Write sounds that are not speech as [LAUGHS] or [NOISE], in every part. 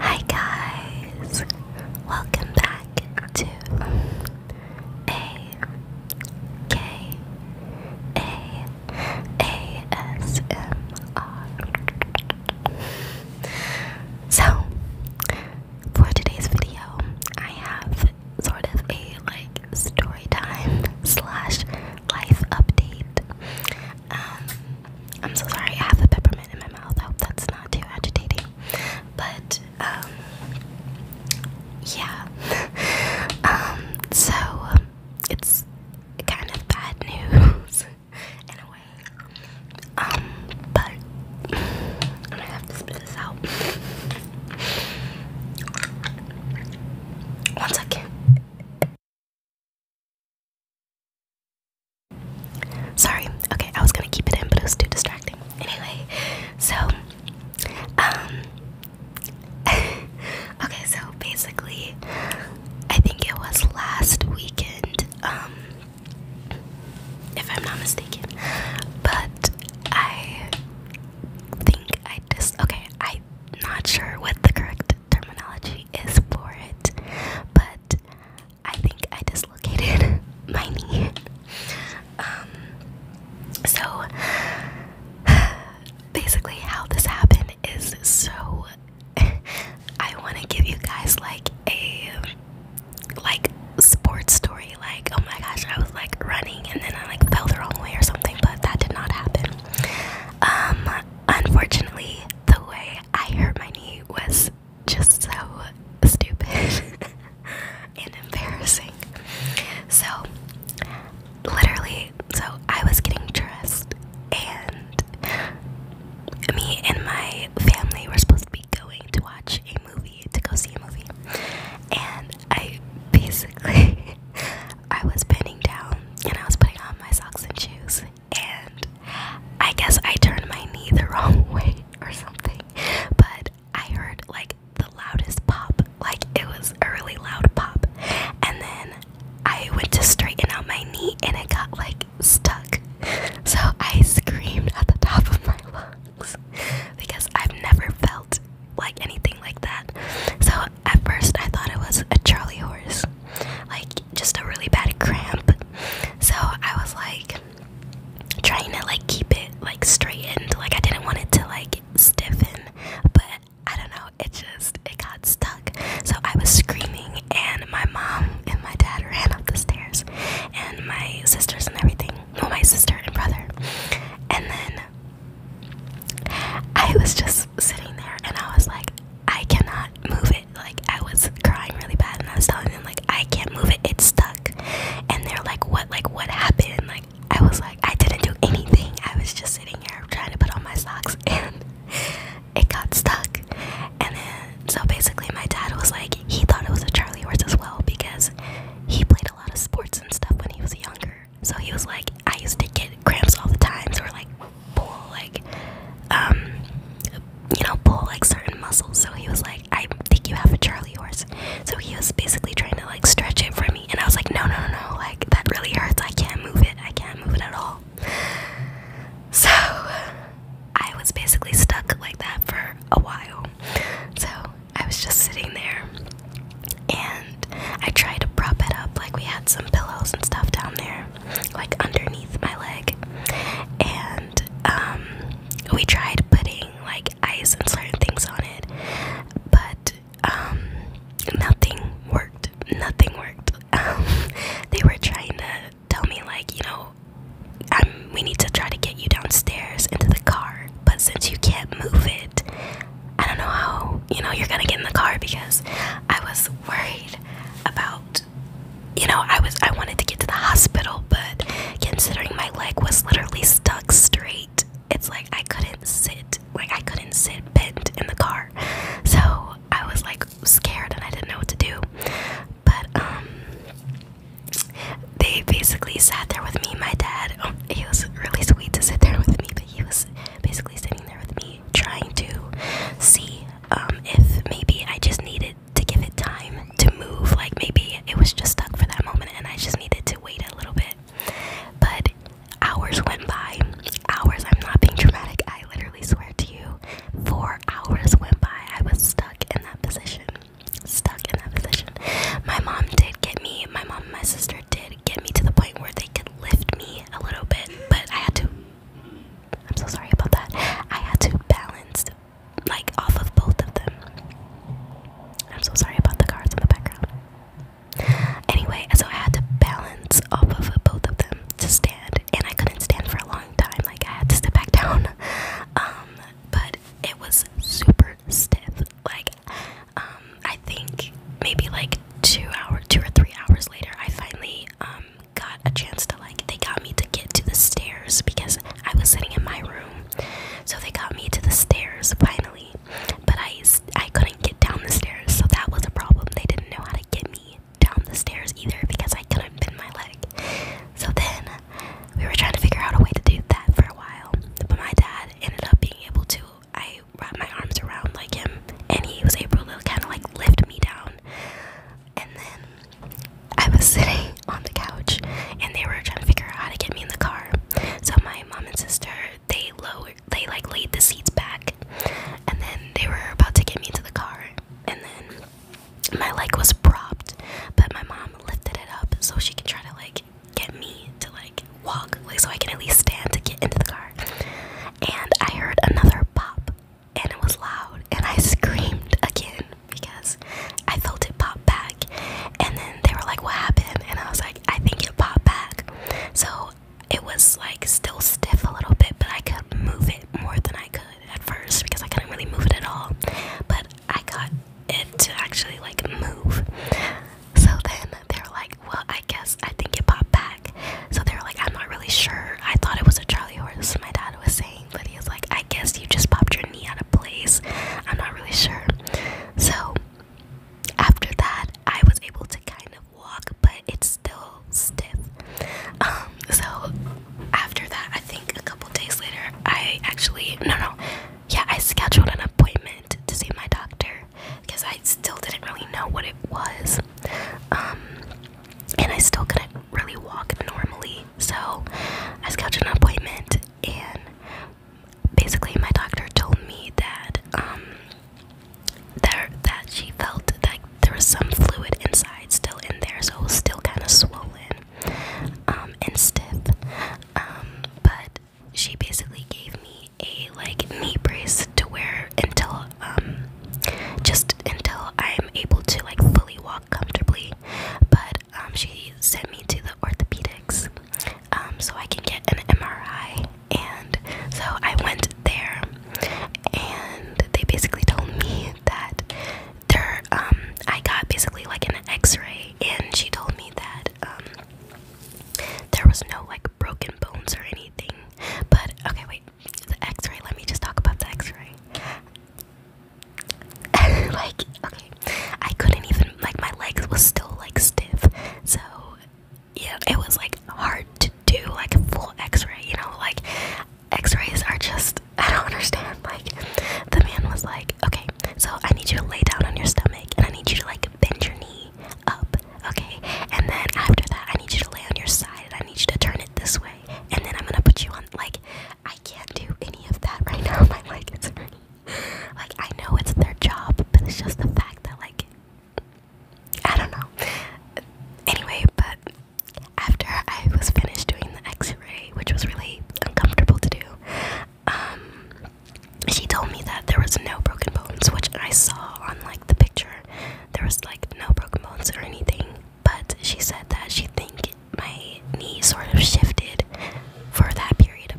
Hi guys, welcome back to a k a a s m r. So for today's video, I have sort of a like story time slash life update. Um, I'm so sorry, I have the peppermint in my mouth. I hope that's not too agitating. But um, yeah. [LAUGHS] Um, so it's kind of bad news [LAUGHS] in a way. but I'm going to spit this out. One second. Sorry. Okay, I was gonna keep it in, but it was too distracting. Anyway, so um [LAUGHS] okay, so basically I think it was last weekend, um if I'm not mistaken. But I think I just okay, I I'm not sure what the correct terminology is for it, but I think I dislocated [LAUGHS] my knee. Um, so [SIGHS] basically, how this happened is so [LAUGHS] I want to give you guys like a like sports story like oh my gosh I was like running and then I like fell the wrong way or something but that did not happen um, unfortunately, the way I hurt my knee was just so stupid [LAUGHS] and embarrassing. So, literally, so I was getting dressed, and me and my family were supposed to be going to watch a movie, to go see a movie. And I basically [LAUGHS] I was bending down and I was putting on my socks and shoes, and I guess I turned my knee the [LAUGHS] wrong way or something. But I heard like the loudest pop, like it was a really loud pop, and then I went to straighten out my knee and it got like stuck. So I screamed at the top of my lungs because I've never felt like anything like that. So at first, I thought it was a Charlie horse, like just a really bad cramp. So I was like trying to like keep it like straightened, like I didn't want it to like stiffen, but I don't know, it just it got stuck. So I was screaming, and my mom and my dad ran up the stairs, and my sisters and everything, well, my sister and brother, and then I was just sitting there and I was like, I cannot move it. Like, I was crying really bad and I was telling them, like, I can't move it, it's stuck. And they're like, What, like, what happened? Like, I was like, I didn't do anything. I was just sitting here trying to put on my socks [LAUGHS] and it got stuck. And then, so basically, my dad was like, He thought it was a Charlie horse as well because he played a lot of sports and stuff when he was younger so he was like, I used to get cramps all the time, so we're like pull like um you know pull like certain muscles. So he was like, I think you have a Charlie horse. So he was basically trying to like stretch it for me, and I was like, no no no no, like that really hurts. I can't move it. I can't move it at all. So [LAUGHS] I was basically stuck like that for a while. So I was just sitting there and I tried to prop it up like we had some pillows and stuff down there, like underneath my leg, and um, we tried putting like ice and certain things on it, but um, nothing worked. Nothing worked. [LAUGHS] Um, they were trying to tell me like, you know, we need to try to get you downstairs into the car, but since you can't move it, I don't know how you know you're gonna get in the car because I was worried about you know I was I wanted to get to the hospital but considering my leg was literally stuck straight it's like I couldn't sit like I couldn't sit bent in the car so I was like scared and I didn't know what to do but um they basically sat there with me my dad oh, he was really sweet to sit there with me but he was basically sitting there with me trying to see um, if maybe I just needed to give it time to move. Like maybe it was just stuck for that moment and I just needed to wait a little bit. But hours went by. Hours, I'm not being dramatic, I literally swear to you. Four hours went by. I was stuck in that position. Stuck in that position. My mom did get me, my mom and my sister did get me to the point where they could lift me a little bit, but I had to. I'm so sorry about that. I had to balance like off of both of them. I'm so sorry about the cars in the background. Anyway, so I had to balance off of both of them to stand, and I couldn't stand for a long time. Like I had to step back [LAUGHS] down. Um, but it was super stiff. Like, um, I think maybe like two hour, two or three hours later, I finally um, got a chance to like. They got me to get to the stairs because I was sitting in my room, so they got me to the stairs finally. But I I couldn't get down the stairs, so that was a problem. They didn't know how to get me down the stairs either because I couldn't bend my leg. So then we were trying to figure out a way to do that for a while, but my dad ended up being able to I wrapped my arms around like him, and he was able to kind of like lift me down. And then I was [LAUGHS] sitting on the couch, and they were trying to figure out how to get me in the car. So my mom and sister they lowered, they like laid the seats back, and then they were about to get me into the car, and then my leg was propped, but my mom lifted it up so she can try to like get me to like walk like so I can at least stand to get into the car and I heard another pop, and it was loud, and I [LAUGHS] screamed again because I felt it pop back. And then they were like, What happened? And I was like, I think it popped back. So it was like still stiff a little bit, but I could move it more than I could at first because I couldn't really move it at all. But I got it to actually like move. So then they were like, well, I guess I think it popped back. So they were like, I'm not really sure. I thought it was a Charlie horse, my dad was saying, but he was like, I guess you just popped your knee out of place. I'm not really sure. So after that, I was able to kind of walk, but it's still stiff. Um, so after that, I think a couple days later, I actually, no, no, yeah, I scheduled an appointment to see my doctor because I still didn't really know what it was. Um, and I still couldn't really walk normally. So I scheduled an appointment, and basically, my doctor told me that um, that she felt like there was some fluid inside still in there, so it was still kind of swollen um, and stiff. but she basically gave me a like knee brace to wear until um just until I'm able to like fully walk comfortably. But um, she sent me to the orthopedics um, so I can get an MRI, and so I went there, and they basically told me that there um I got basically like an X-ray, and she told me that um there was no like broken bones or anything. But okay, wait the x-ray let me just talk about the x-ray [LAUGHS] like okay i couldn't even like my legs was still like stiff so yeah it was like hard to do like a full x-ray you know like x-rays are just [LAUGHS] i don't understand like the man was like okay so i need you to lay down on your stomach and i need you to like bend your knee up, okay? And then after that, I need you to lay on your side and I need you to turn it this way. And then I'm gonna put you on, like, I can't do any of that right now. [LAUGHS] My leg is hurting. Like, I know it's their job, but it's just the fact that, like, I don't know. Anyway, but after I was finished doing the x ray, which was really uncomfortable to do, um, she told me that there was no broken bones, which I saw on, like, the picture there was like no broken bones or anything but she said that she think my knee sort of shifted for that period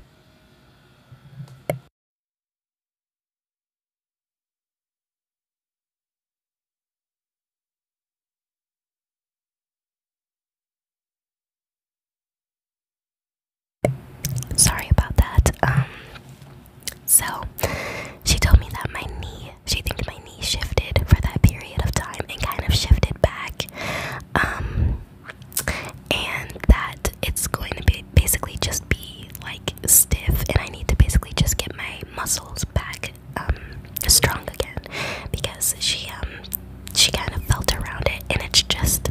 Sorry about that. Um, so she told me that my knee, she think my knee shifted for that period of time and kind of shifted back. Um, and that it's going to be basically just be like stiff, and I need to basically just get my muscles back um, strong again because she um she kind of felt around it, and it's just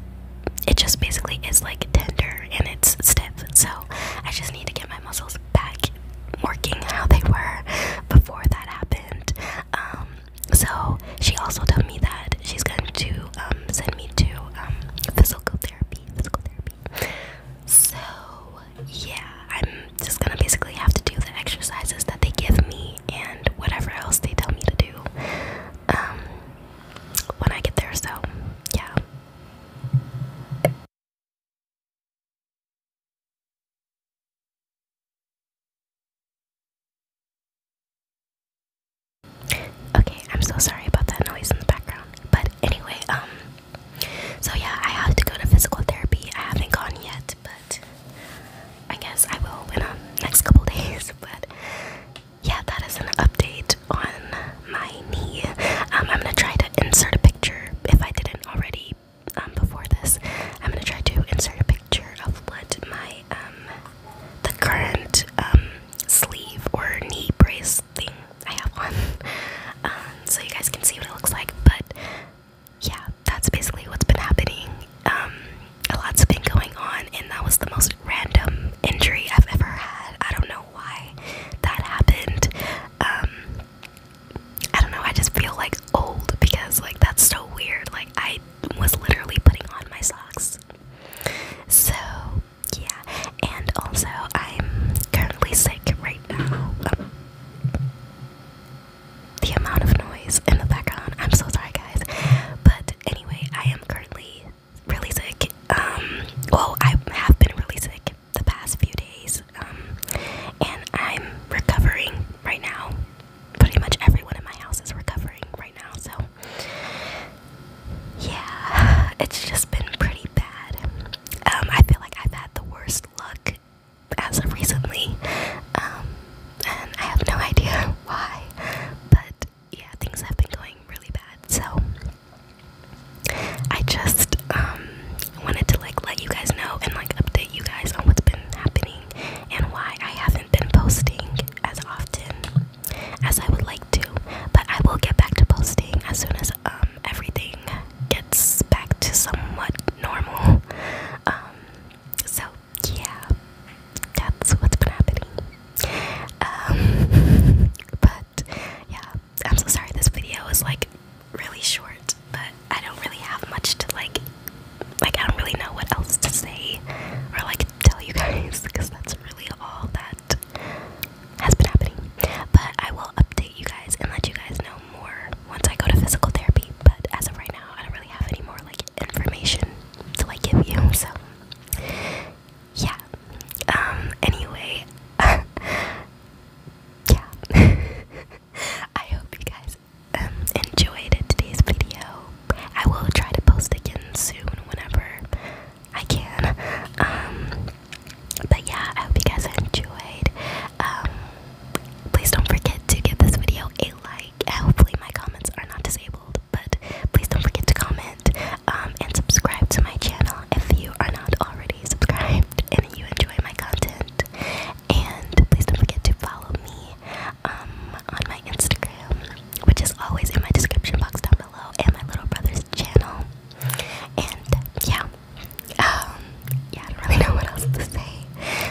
it just basically is like tender and it's stiff. So I just need to get my muscles back working how they were before that happened. Um, so she also told me that she's going to um, send me to um, physical therapy. Physical therapy. So yeah, I'm just gonna basically have to do the exercises that they give me and whatever else they tell me to do when I get there. So yeah. Okay, I'm so sorry about that noise in the background. But anyway, um so yeah, I have to go to physical therapy. I haven't gone yet, but I guess I will in the um, next couple [LAUGHS] days. But yeah, that is an update on my knee. Um, I'm gonna try to insert a picture if I didn't already um, before this. I'm gonna try to insert a picture of what my um, the current sleeve or knee brace thing I have on, [LAUGHS] so you guys can see what it looks like. But yeah, that's basically what's been happening. Um, a lot's been going on, and that was the most random injury I've ever had. I don't know why that happened. I don't know, I just feel like old because like that's so weird. Like I was literally putting on my socks. So yeah, and also I'm currently sick right now. Um, the amount of noise in the background, I'm so sorry guys. But anyway, I am currently really sick. Um well I have been really sick the past few days, um, and I'm recovering right now. Pretty much everyone in my house is recovering right now, so yeah, it's just been pretty bad. Um, I feel like I've had the worst luck as of recently, um, and I have no [LAUGHS] idea why, but yeah, things have been going really bad, so I just um, wanted to like let you guys know and like update you guys on what's been happening and why I haven't been posting as often as I would like to. But I will get back to posting as soon as um, everything gets back to somewhat normal. Um, so yeah, that's what's been happening. [LAUGHS] but yeah, I'm so sorry this video is like really short, but I don't really have much to like like I don't really know what else to say or like tell you guys because that's really all that has been happening. But I will update you guys and let you guys know more once I go to physical therapy. But as of right now, I don't really have any more like information to like give you. So yeah. Um anyway, [LAUGHS] yeah. [LAUGHS] I hope you guys um, enjoyed today's video. I will try to post again soon whenever I can. Um, but yeah, I hope you guys enjoyed. Um, please don't forget to give this video a like. Hopefully, my comments are not disabled, but please don't forget to comment and subscribe to my channel if you are not already subscribed and you enjoy my content. And please don't forget to follow me um, on my Instagram, which is always in my description box down below, and my little brother's channel. And yeah, um, yeah, I don't really [LAUGHS] know what else to say,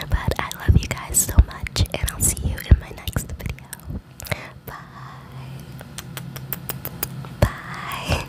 but I love you guys so much, and I'll see you in my next video. Bye. Bye.